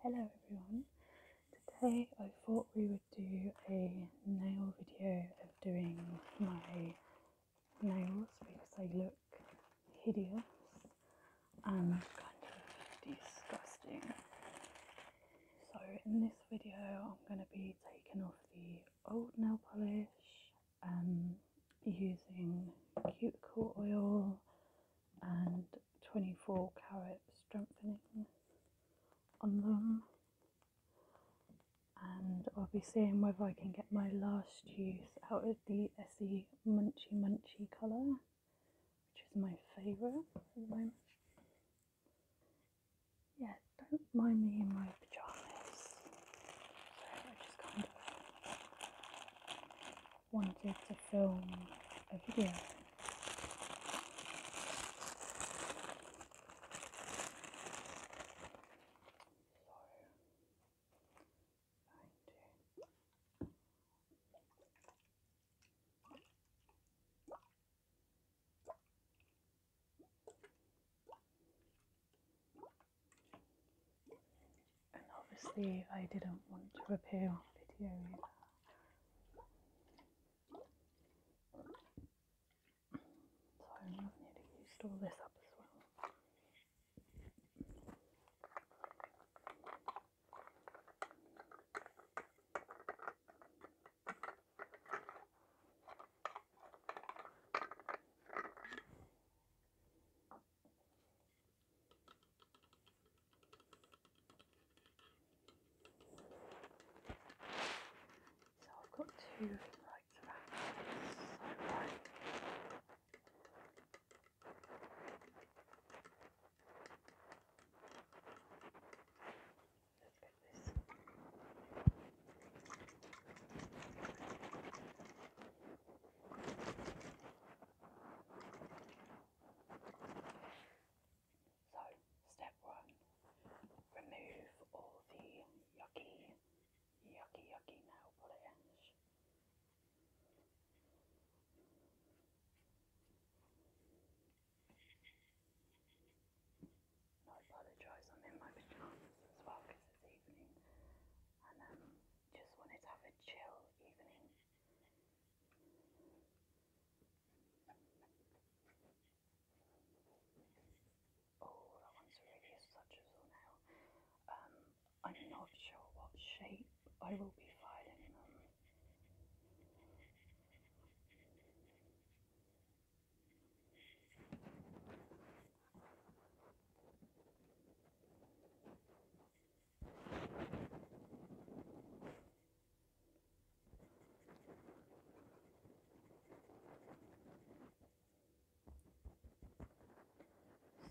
hello everyone. Today I thought we would do a nail video of doing my nails because they look hideous and kind of disgusting. So in this video I'm going to be taking off the old nail polish um, using cuticle oil and 24 carat strengthening on them and I'll be seeing whether I can get my last use out of the se Munchy Munchy colour which is my favourite at the moment. Yeah, don't mind me in my pyjamas. So I just kind of wanted to film a video. And obviously, I didn't want to appear on video either. So I'm nearly used all this up as well. So I've got two lights around this right. Look this. So, step one remove all the yucky, yucky, yucky nail polish. I apologise, I'm in my pajamas as well because it's evening and um, just wanted to have a chill evening. Oh, that one's really a suggable Um, I'm not sure what shape I will be filing so,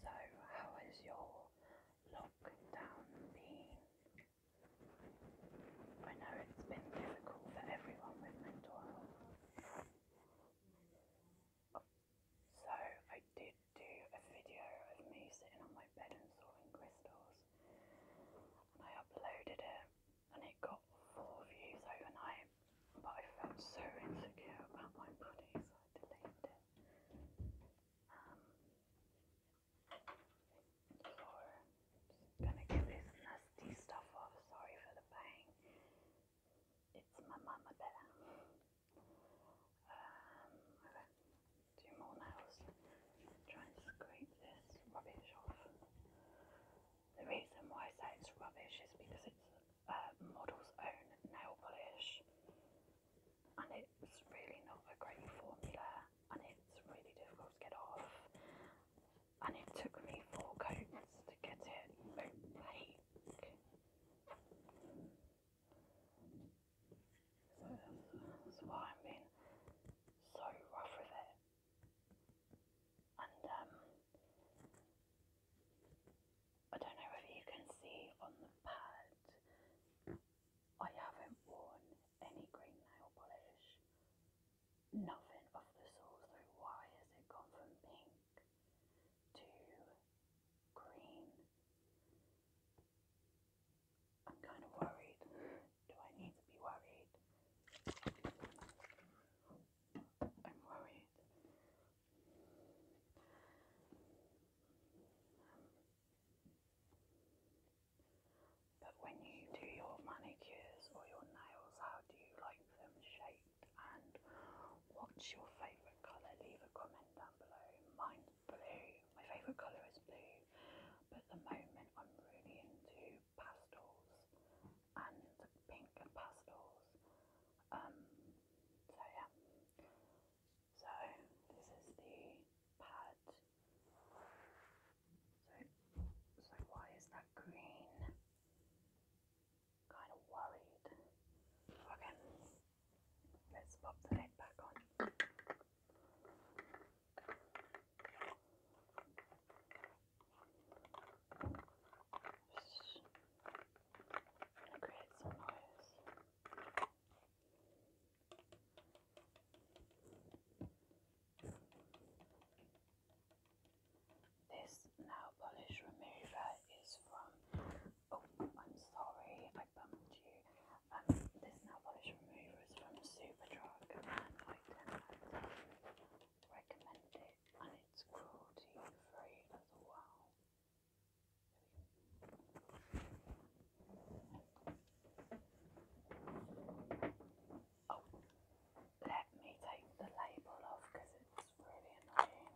how is your lockdown been? I know it's been difficult for everyone with mental so I did do a video of me sitting on my bed and sawing crystals, and I uploaded it, and it got four views overnight. But I felt so insecure about my body, so I deleted it. Um, so gonna give this nasty stuff off. Sorry for the bang. It's my mama bear. Um, I won't do more nails. Try and scrape this rubbish off. The reason why I say it's rubbish is because it's uh, model's own nail polish, and it's really not a great formula, and it's really difficult to get off. And it took me four coats to get it opaque that's, why I'm being so rough with it. And um, I don't know whether you can see on the pad, I haven't worn any green nail polish. Nothing of the sort. So why has it gone from pink to green. I'm kind of worried. Do I need to be worried? I'm worried. Um, but when you do your manicures or your nails, how do you like them shaped? And what's your favourite colour? Leave a comment down below. Mine blue. My favourite colour is blue, but at the moment I'm really into pastels and pink and pastels. Um, so this is the pad. So so why is that green? Kind of worried. Okay. Let's pop the lid back on. create some noise. This nail polish remover is from Oh, I'm sorry, I bumped you. Um, this nail polish remover is from Superdrug, and I tend recommend it, and it's cruelty free as well. Oh, let me take the label off because it's really annoying.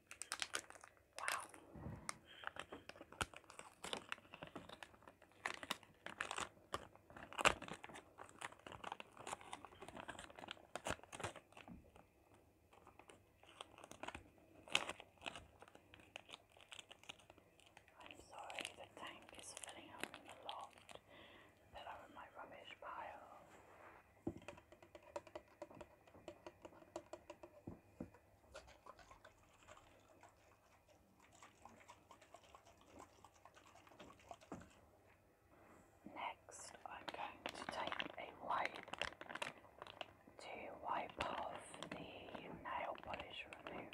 Wow. I'm sorry the tank is filling up in the lot that are in my rubbish pile. Next, I'm going to take a wipe to wipe off the nail polish remover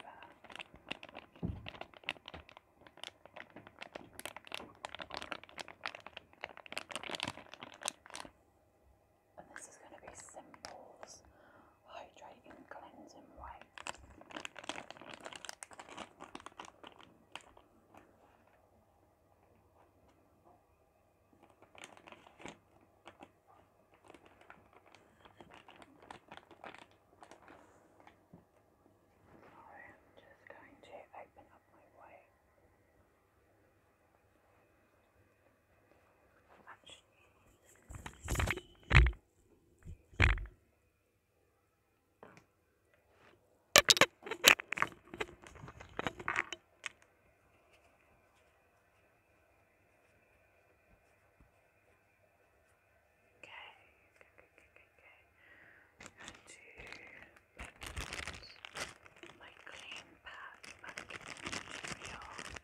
and this is going oh, to be Simple's Hydrating Cleansing Wipe. I am just going to open up my wipe to put my clean pad back in the material.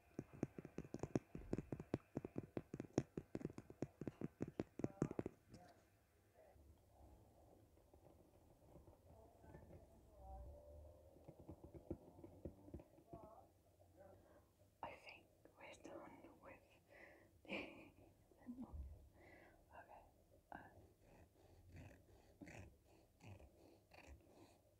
I think we're done with the Okay. Uh,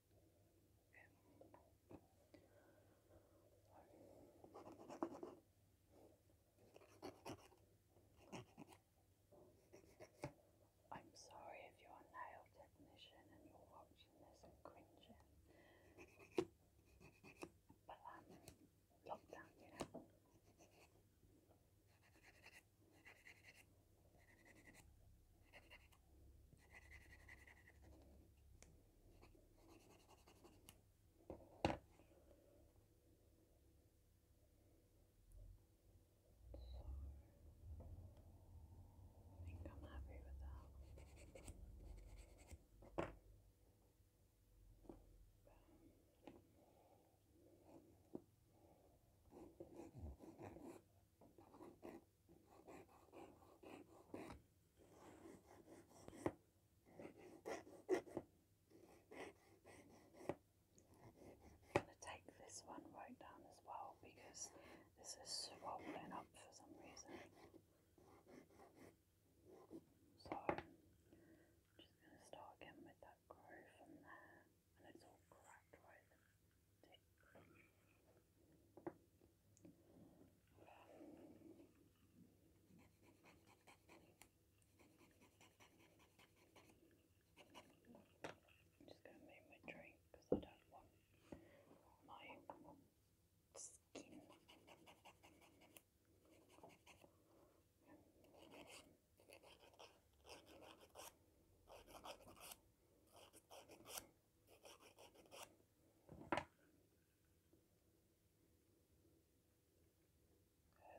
I'm sorry if you're a nail technician and you're watching this and cringing. But um lockdown, you know. I think I'm happy with that. Bam going to take this one right down as well because this is swollen up for some reason. So just going to start again with that groove from there and it's all cracked right there. I'm just going to move my drink because I don't want my skin.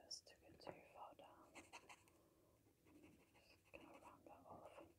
It's sticking too far down. Just gonna round that off. Okay.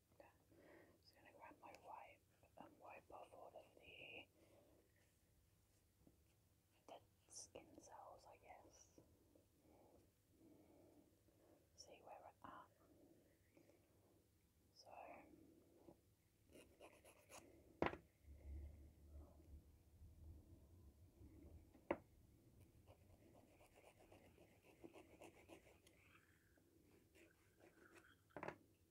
Okay. Just gonna grab my wipe and wipe off all of the dead skin cells, I guess. See where we're at. So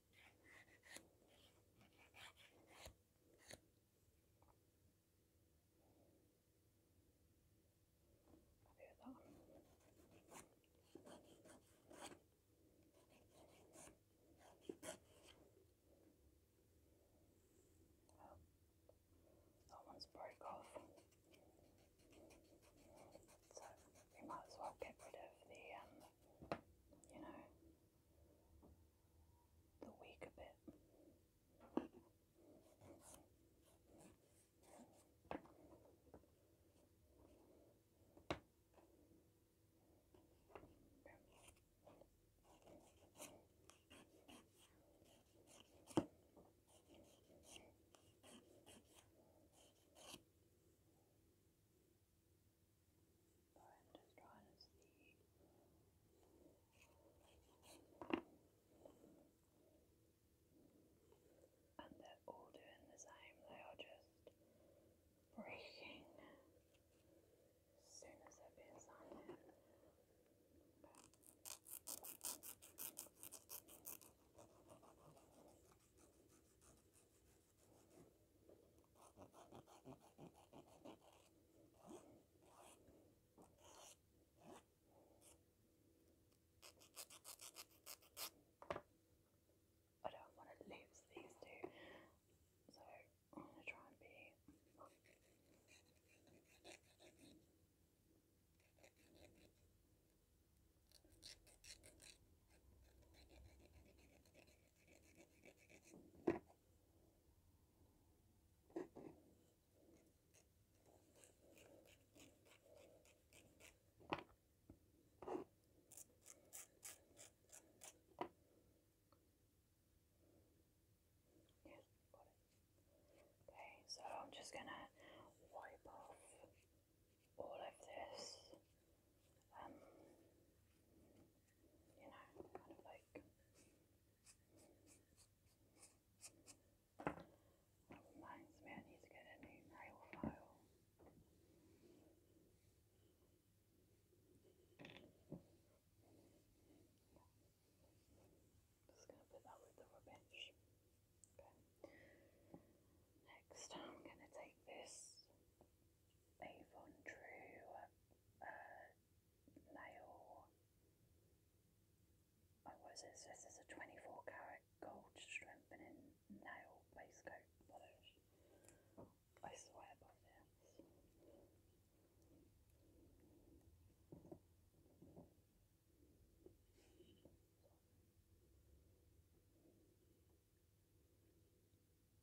that one's broke off, so we might as well get rid of the, um, you know, the week a bit. Sorry, I'm just trying to see. And they're all doing the same, they are just breaking as soon as they're being signed I don't want to lose these two, so I'm going to try and be. Okay, so I'm just going to wipe off all of this um, you know, kind of like reminds me I need to get a new nail file. just gonna put that with the rubbish. Okay. Next I'm gonna take this Avon True nail. Oh, what is this? This is a 24 karat gold strengthening nail base coat polish. I swear by this.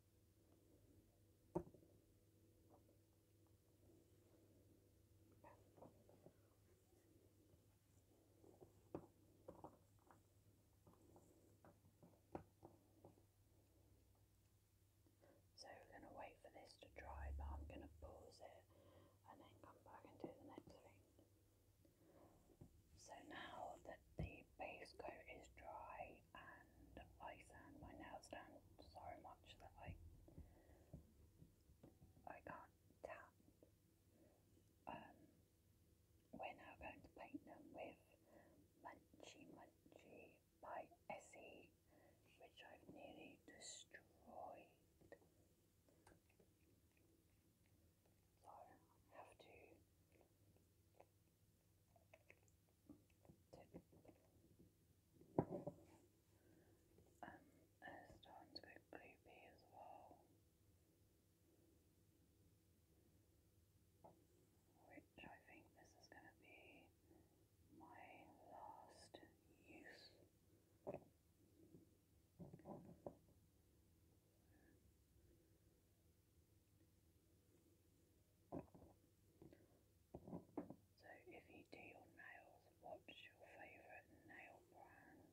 So we're going to wait for this to dry, but I'm going to pause it and then come back and do the next thing. So now that the base coat is dry, and I sand my nails down so much that I I can't tap. Um, we're now going to paint them with Munchy Munchy by Essie, which I've nearly destroyed. So have to tip. Um, there's starting to go gloopy as well, which I think this is going to be my last use. So, if you do your nails, what's your favourite nail brand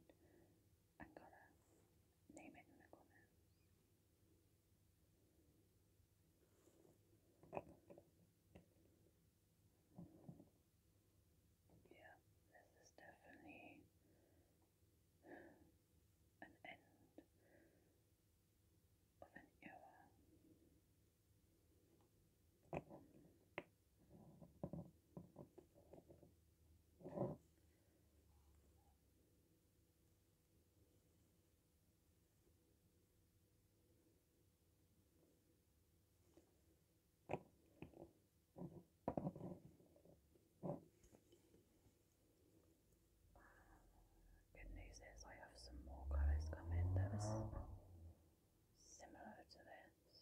and colour? Name it in the comments. Yeah, this is definitely an end of an era. Good news is I have some more colours coming that is similar to this.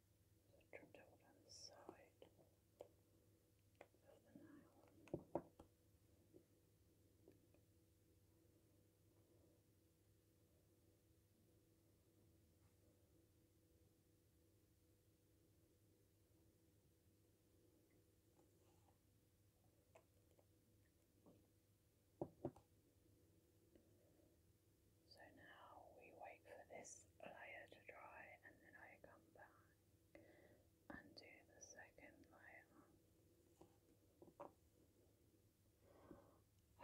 So trimmed it on the side of the nail. So now we wait for this layer to dry and then I come back and do the second layer.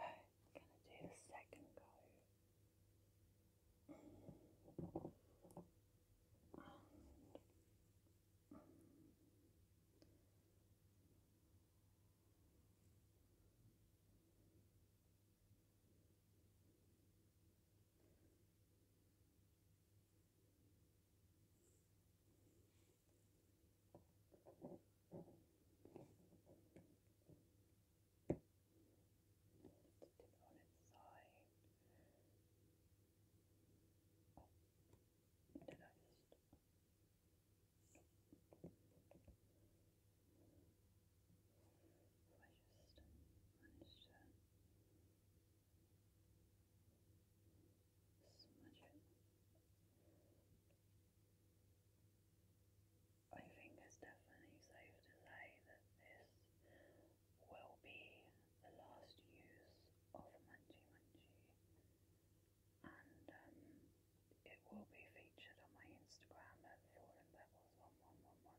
I'm gonna do the second coat on its side. Oh, did I just? No. I just managed to smudge it. I think it's definitely safe to say that this will be the last use of Munchie Munchie, and it will be featured on my Instagram at Fallen one one one one.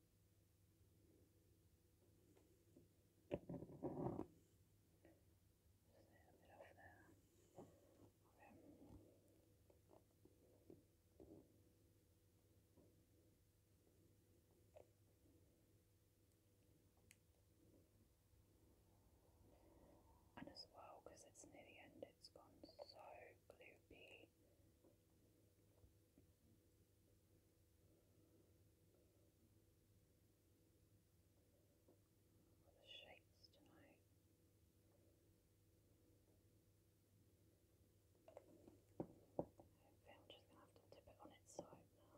And as well, because it's near the end, it's gone so gloopy. All the shapes tonight. I'm just going to have to dip it on its side now.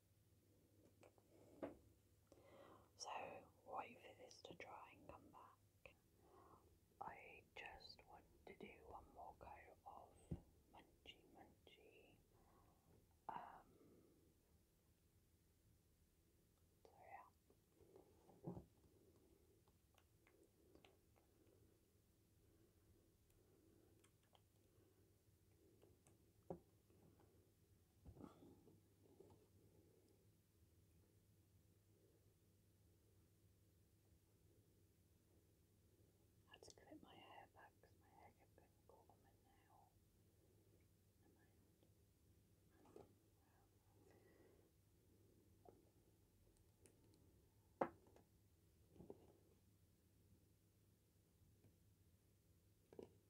So wait for this to dry and come back. I just want to do one more go of munchy munchy. Um, so yeah. I had to clip my hair back because my hair kept getting caught on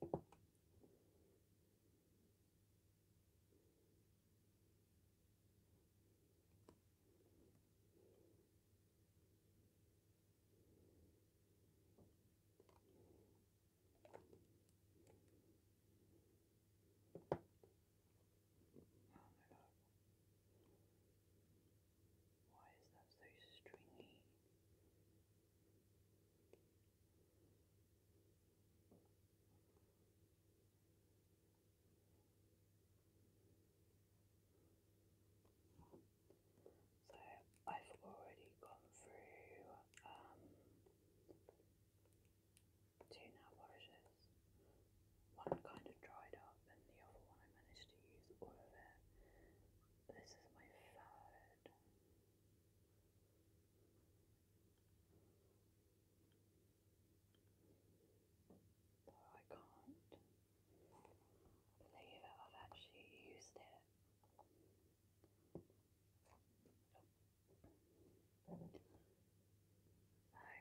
Why is that so stringy? So I've already gone through um, two now nourishes. One kind of dried up and the other one I managed to use all of it. This is my third so I can't believe it. I've actually used it. Oh. So that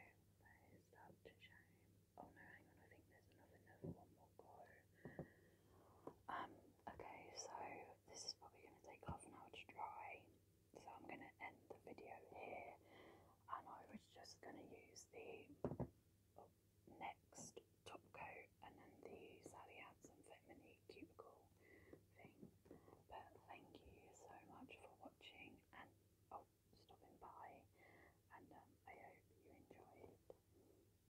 is such a shame. Oh no, hang on, I think there's another one more go. Um, okay, so this is probably going to take half an hour to dry, so I'm going to end the video here, and I was just going to use the oh, next top coat and then the Sally Hansen Fit Mini thing. But thank you so much for watching and oh, stopping by, and um, I hope you enjoyed.